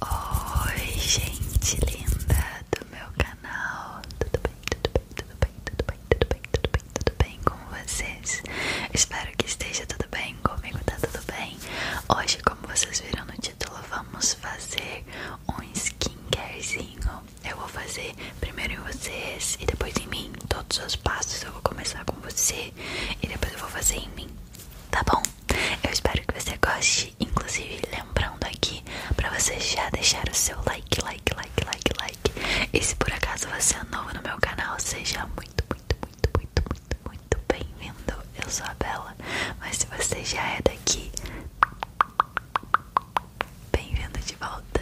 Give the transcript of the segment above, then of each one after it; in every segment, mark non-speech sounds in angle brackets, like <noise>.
Oi, gente linda do meu canal. Tudo bem, tudo bem, tudo bem, tudo bem, tudo bem, tudo bem, tudo bem com vocês? Espero que esteja tudo bem comigo, tá tudo bem? Hoje, como vocês viram no título, vamos fazer um skincarezinho. Eu vou fazer primeiro em vocês e depois em mim. Todos os passos eu vou começar com você e depois eu vou fazer em mim. Tá bom? Eu espero que você goste Inclusive, lembrando aqui para você já deixar o seu like, like, like, like, like. E se por acaso você é novo no meu canal, seja muito, muito, muito, muito, muito, muito bem-vindo. Eu sou a Bela, mas se você já é daqui, bem-vindo de volta.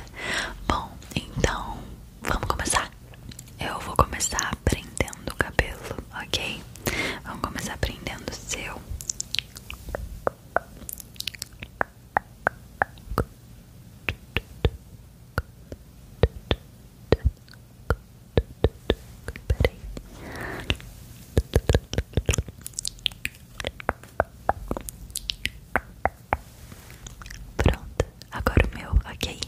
Bom, então vamos começar. Eu vou começar aprendendo o cabelo, ok? Vamos começar aprendendo o seu. Pronto, agora o meu, ok?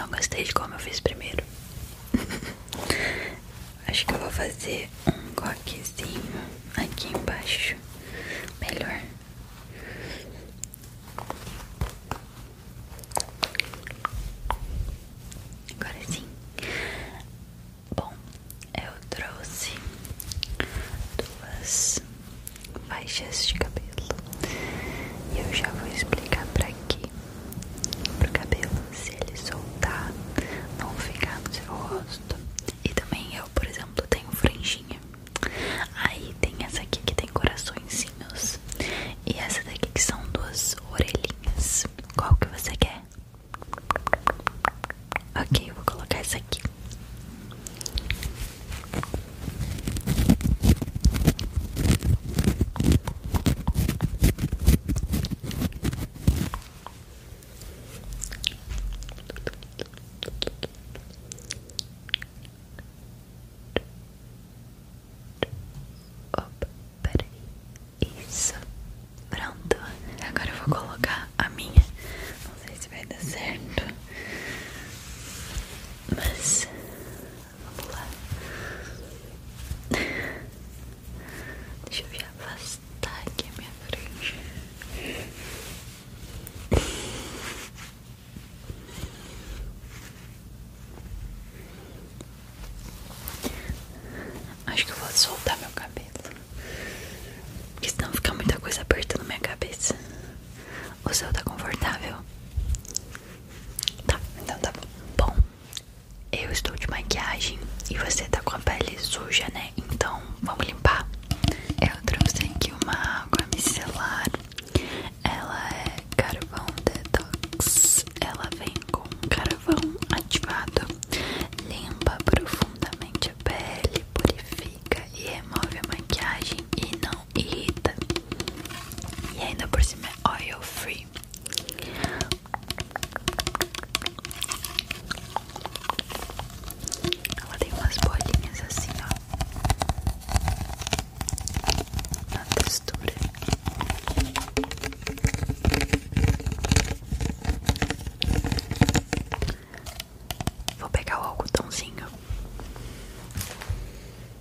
Não gostei de como eu fiz primeiro. <laughs> Acho que eu vou fazer um coquezinho aqui embaixo. Melhor. Agora sim. Bom, eu trouxe duas faixas de cabelo. E eu já vou explicar pra quê pro cabelo se ele soltar, não ficar no seu rosto. E também eu, por exemplo, tenho franjinha. Aí tem essa aqui que tem coraçõezinhos e essa daqui que são duas orelhinhas. Qual que você quer? Ok, vou colocar essa aqui. Opa, peraí. Isso. Pronto. Agora eu vou colocar a minha. Não sei se vai dar certo. Mas Vamos lá. Deixa eu me afastar aqui a minha frente. Acho que eu vou soltar meu cabelo. Porque senão fica muita coisa apertando minha cabeça. O seu tá confortável? Tá, então tá Bom, eu estou de maquiagem e você tá com a pele suja, né? Então vamos limpar. Eu trouxe aqui uma água micelar. Ela é carvão detox. Ela vem com carvão ativado. Limpa profundamente a pele, purifica e remove a maquiagem e não irrita. E ainda por cima é oil free. Ela tem umas bolinhas assim, ó, na textura. Vou pegar o algodãozinho.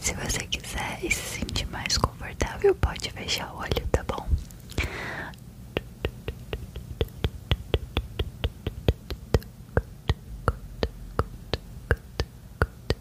Se você quiser e se sentir mais confortável, pode fechar o olho, tá bom?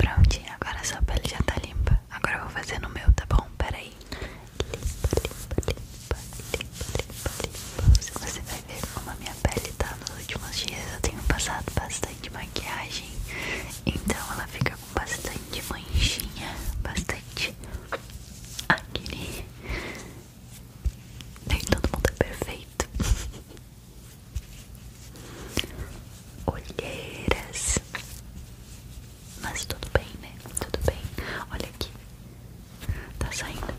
Prontinho, agora a sua pele já tá limpa. Agora eu vou fazer no meu, tá bom? Peraí vai limpa, limpa, limpa, limpa, limpa. Você vai ver como a minha pele tá nos últimos dias. Eu tenho passado bastante maquiagem, então ela fica com bastante manchinha, bastante acne. Nem todo mundo é perfeito. <laughs> Olheiras mas tudo bem, né? Tudo bem. Olha aqui. Tá saindo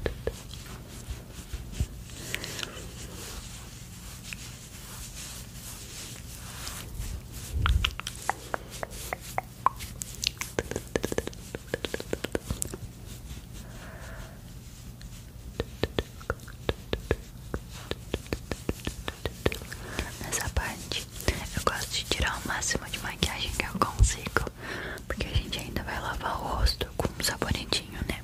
Nessa parte eu gosto de tirar o máximo de maquiagem que eu consigo porque a gente ainda vai lavar o rosto com um sabonetinho, né?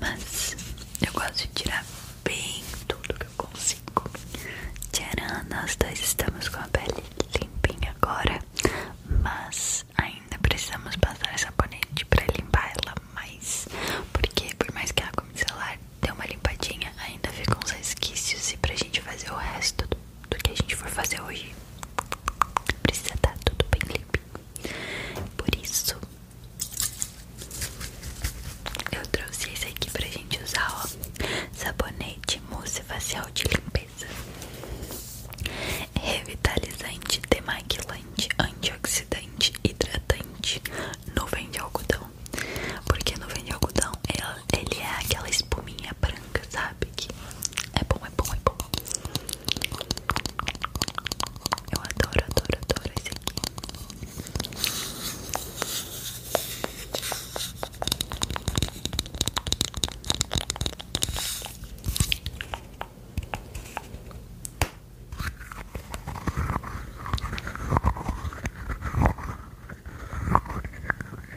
Mas eu gosto de tirar bem tudo que eu consigo. Tcharam, nós dois estamos com a pele limpinha agora, mas ainda precisamos passar essa sabonete para limpar ela mais, porque por mais que a água micelar dê uma limpadinha, ainda ficam uns resquícios e pra gente fazer o resto do do que a gente for fazer hoje precisa estar tá tudo bem limpinho. Por isso, eu trouxe esse aqui pra gente usar, ó. Sabonete mousse facial de limpeza. Revitalizante, demaquilante, antioxidante, hidratante, nuvem de algodão. Porque nuvem de algodão, ela ele é aquela espuminha branca, sabe? Que é bom, é bom, é bom. Eu adoro, adoro, adoro esse aqui.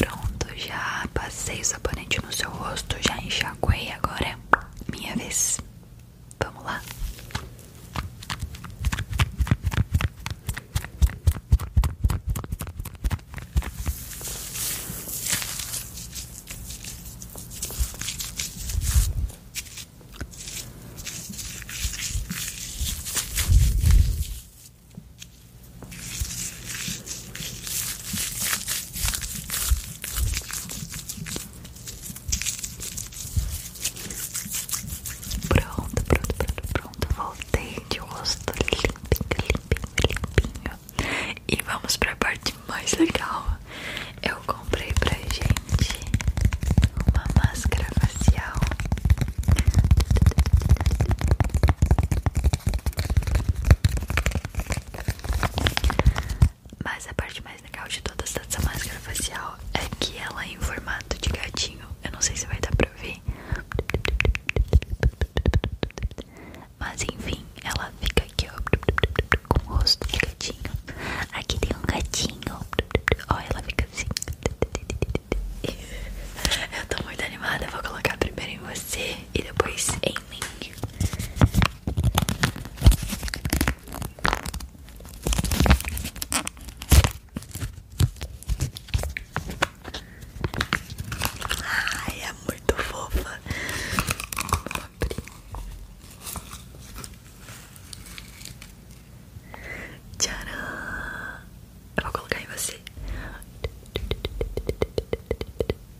Pronto, já passei o sabonete no seu rosto, já enxaguei, agora é minha vez. Vamos lá. Pronto, pronto, pronto, pronto. Voltei de rosto limpinho, limpinho, limpinho. E vamos para a parte mais legal eu comprei pra gente uma máscara facial mas a parte mais legal de toda essa máscara facial é que ela é em formato de gatinho. Eu não sei se vai dar pra ver. Mas enfim, ela fica aqui, ó com o rosto de gatinho. Aqui tem um gatinho. Olha, ela fica assim. Eu tô muito animada. Vou colocar primeiro em você e depois em mim. Ai, é muito fofa. Vou Tcharam! Eu vou colocar em você.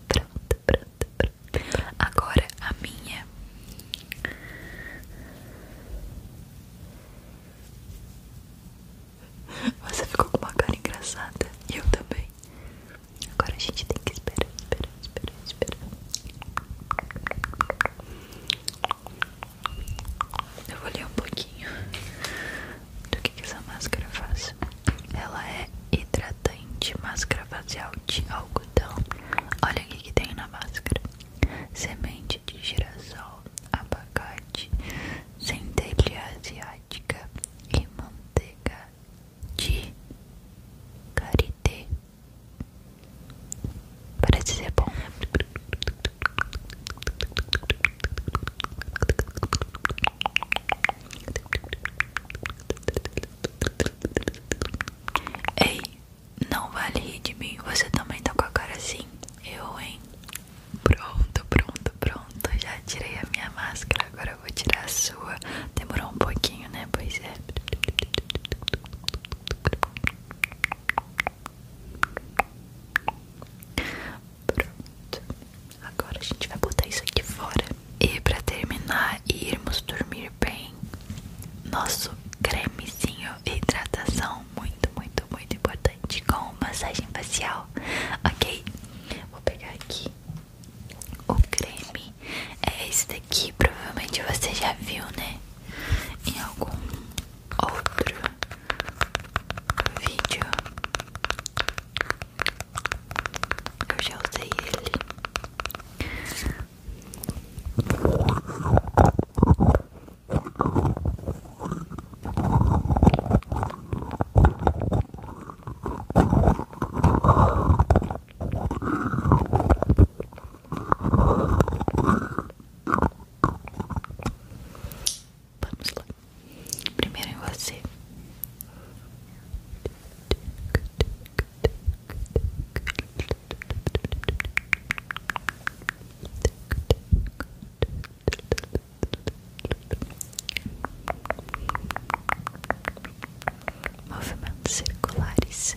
Pronto, pronto, pronto. Agora a minha. Você ficou com uma cara engraçada. eu também. Agora a gente tem que esperar, esperar, esperar, esperar. Eu vou ler um pouquinho do que, essa máscara faz. Ela é hidratante, máscara facial de algodão. Olha o que, que tem na máscara: semente de girassol, abacate, centelha asiática e manteiga de karité. Para dizer bom. Ei, não vale rir de mim. Você também tá com a cara assim? Eu, hein? Pronto, pronto, pronto. Já tirei a minha máscara. Agora eu vou tirar a sua. Demorou um pouquinho, né? Pois é. Pronto. Agora a gente vai botar isso aqui fora. E pra terminar e irmos dormir bem, nosso cremezinho hidratação, muito, muito, muito importante, com massagem facial, ok? Vou pegar aqui o creme, é esse daqui que provavelmente você já viu, né? Em algum outro vídeo. Eu já usei ele. Vamos lá. Primeiro você. Movimentos circulares.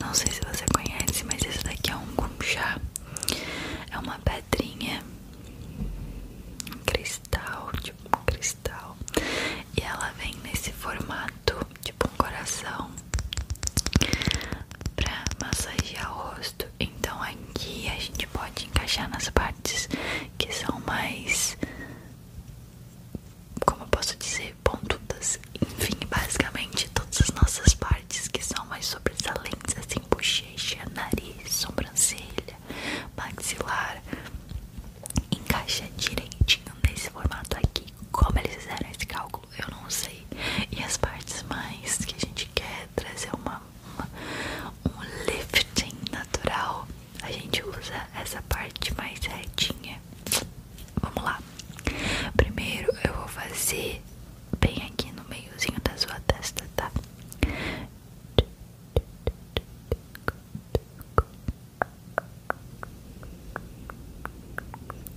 Não sei se você conhece, mas esse daqui é um gumchá. É uma pedrinha, um cristal, tipo um cristal. E ela vem nesse formato, tipo um coração, pra massagear o rosto. Então aqui a gente pode encaixar nas partes que são mais como eu posso dizer, pontudas. Enfim, basicamente todas as nossas partes que são mais sobressalentes, assim, bochecha, nariz, sobrancelha, maxilar, encaixa direitinho nesse formato aqui. Como eles fizeram esse cálculo, eu não sei. E as partes mais que a gente quer trazer uma um lifting natural a gente usa essa parte mais retinha. Vamos lá. Primeiro eu vou fazer bem aqui no meiozinho da sua testa, tá?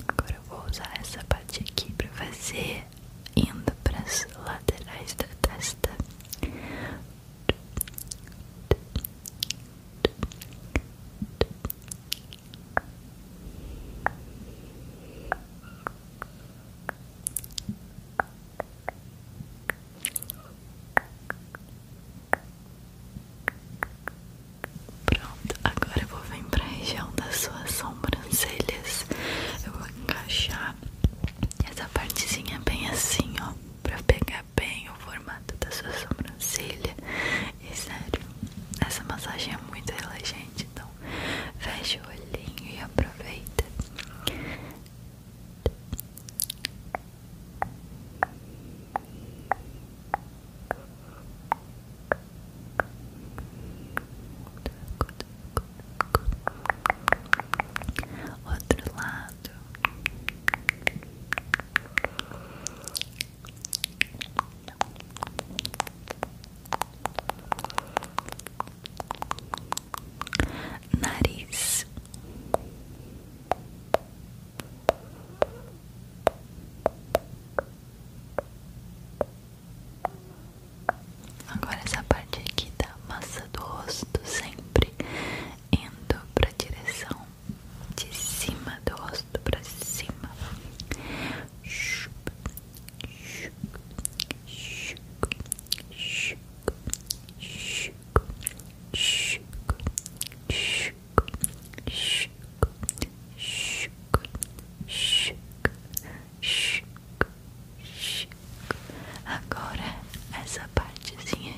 Agora eu vou usar essa parte aqui pra fazer indo pras laterais da testa. Pronto, agora eu vou vir para a região das suas sobrancelhas. Eu vou encaixar essa partezinha bem assim, ó, para pegar bem o formato da sua sobrancelha. E sério, essa massagem é muito elegante então fecha o olhinho e aproveita. Outro lado nariz, agora essa parte aqui da massa do rosto sempre indo para direção de cima do rosto pra cima. Agora essa partezinha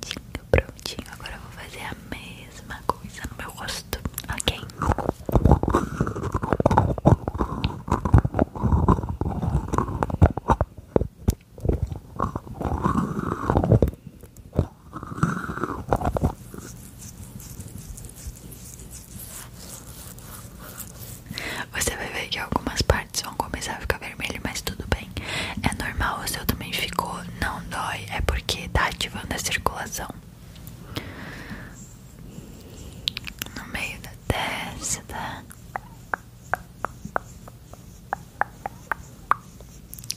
Prontinho, prontinho. Agora eu vou fazer a mesma coisa no meu rosto, ok? Você vai ver que algumas partes vão começar a ficar vermelhas, mas tudo bem. É normal, o seu também ficou. Não dói, é porque tá ativando a circulação. No meio da testa. Tá?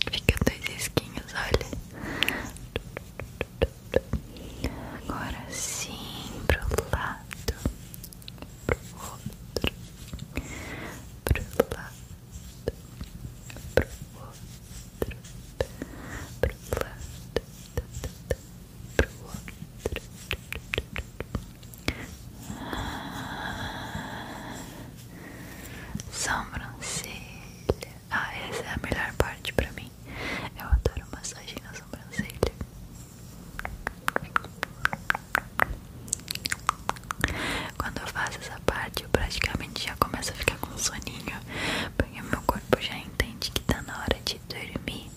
Fica dois risquinhos, olha. Agora sim, pro lado. Pro outro. Pro lado pro outro, pro lado, pro outro. Sobrancelha. Ah, essa é a melhor parte pra mim. Eu adoro massagem na sobrancelha. Quando eu faço essa parte, eu praticamente já começo a ficar com soninho, porque meu corpo já entende que tá na hora de dormir.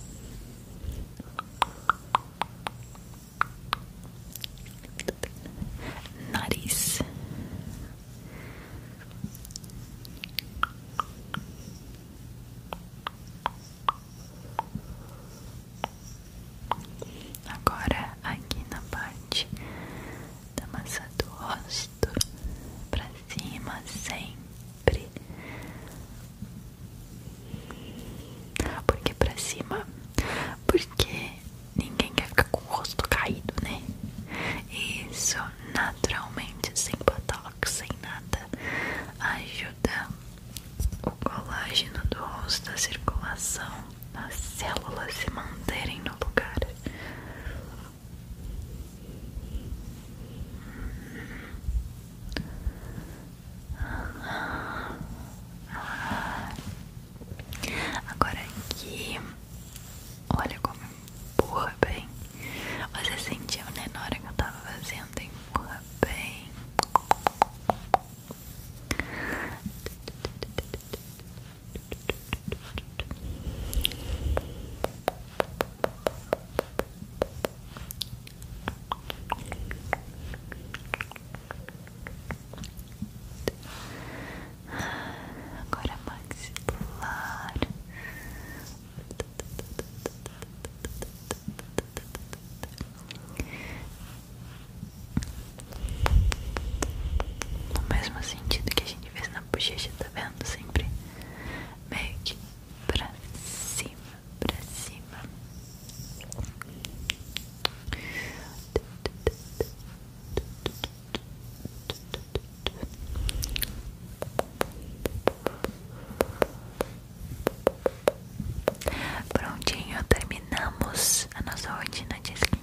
Nariz. Nariz. Agora aqui na parte da massa do rosto, pra cima sempre, porque pra cima, porque ninguém quer ficar com o rosto caído, né? Isso naturalmente, sem botox, sem nada, ajuda o colágeno do rosto, a circulação as células se manterem no lugar. Agora aqui, olha como empurra bem. Você sentiu, né, na hora que eu tava fazendo? Empurra bem. Agora maxilar. No mesmo sentido que a gente fez na bochecha, tá vendo? Sempre meio que pra cima, pra cima. Prontinho, terminamos a nossa rotina de skin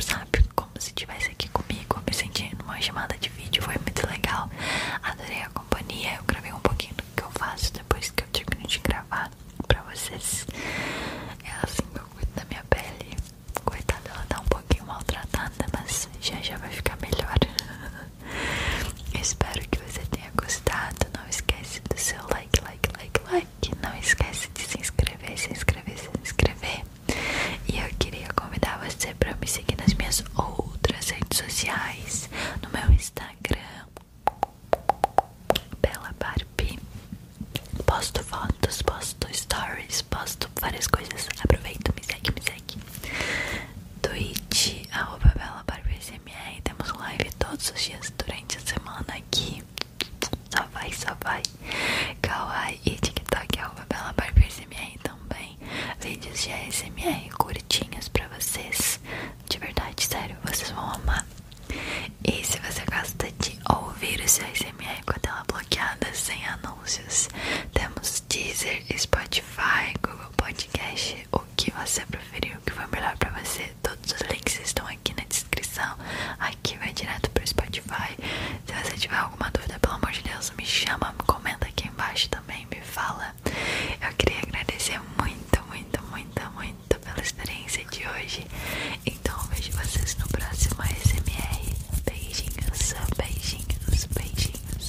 sabe, como se estivesse aqui comigo, me sentindo uma chamada de vídeo, foi muito legal, adorei a companhia, eu gravei um pouquinho do que eu faço depois que eu termino de gravar pra vocês, é assim que eu cuido da minha pele, coitada, ela tá um pouquinho maltratada, mas já já vai ficar melhor. <laughs> Espero que você tenha gostado. Não esquece do seu like, like, like, like que não esquece de se inscrever, se inscrever, se inscrever. E eu queria convidar você para me seguir nas minhas outras redes sociais, no meu Instagram, Bela Barbie. Posto fotos, posto stories, posto várias coisas. Aproveita, me segue, me segue. Twitch, arroba Temos live todos os dias durante a semana aqui. Só vai, só vai. Kawaii e TikTok, arroba é Bela Barber SMR também. Vídeos de ASMR curtinhos pra vocês. De verdade, sério, vocês vão amar. E se você gosta de ouvir o seu ASMR com a tela bloqueada, sem anúncios, temos Deezer, Spotify, Google Podcast, o que você preferir, o que foi melhor pra você, tudo os links estão aqui na descrição. Aqui vai direto pro Spotify. Se você tiver alguma dúvida, pelo amor de Deus, me chama, me comenta aqui embaixo também, me fala. Eu queria agradecer muito, muito, muito, muito pela experiência de hoje. Então eu vejo vocês no próximo ASMR. Beijinhos, beijinhos, beijinhos.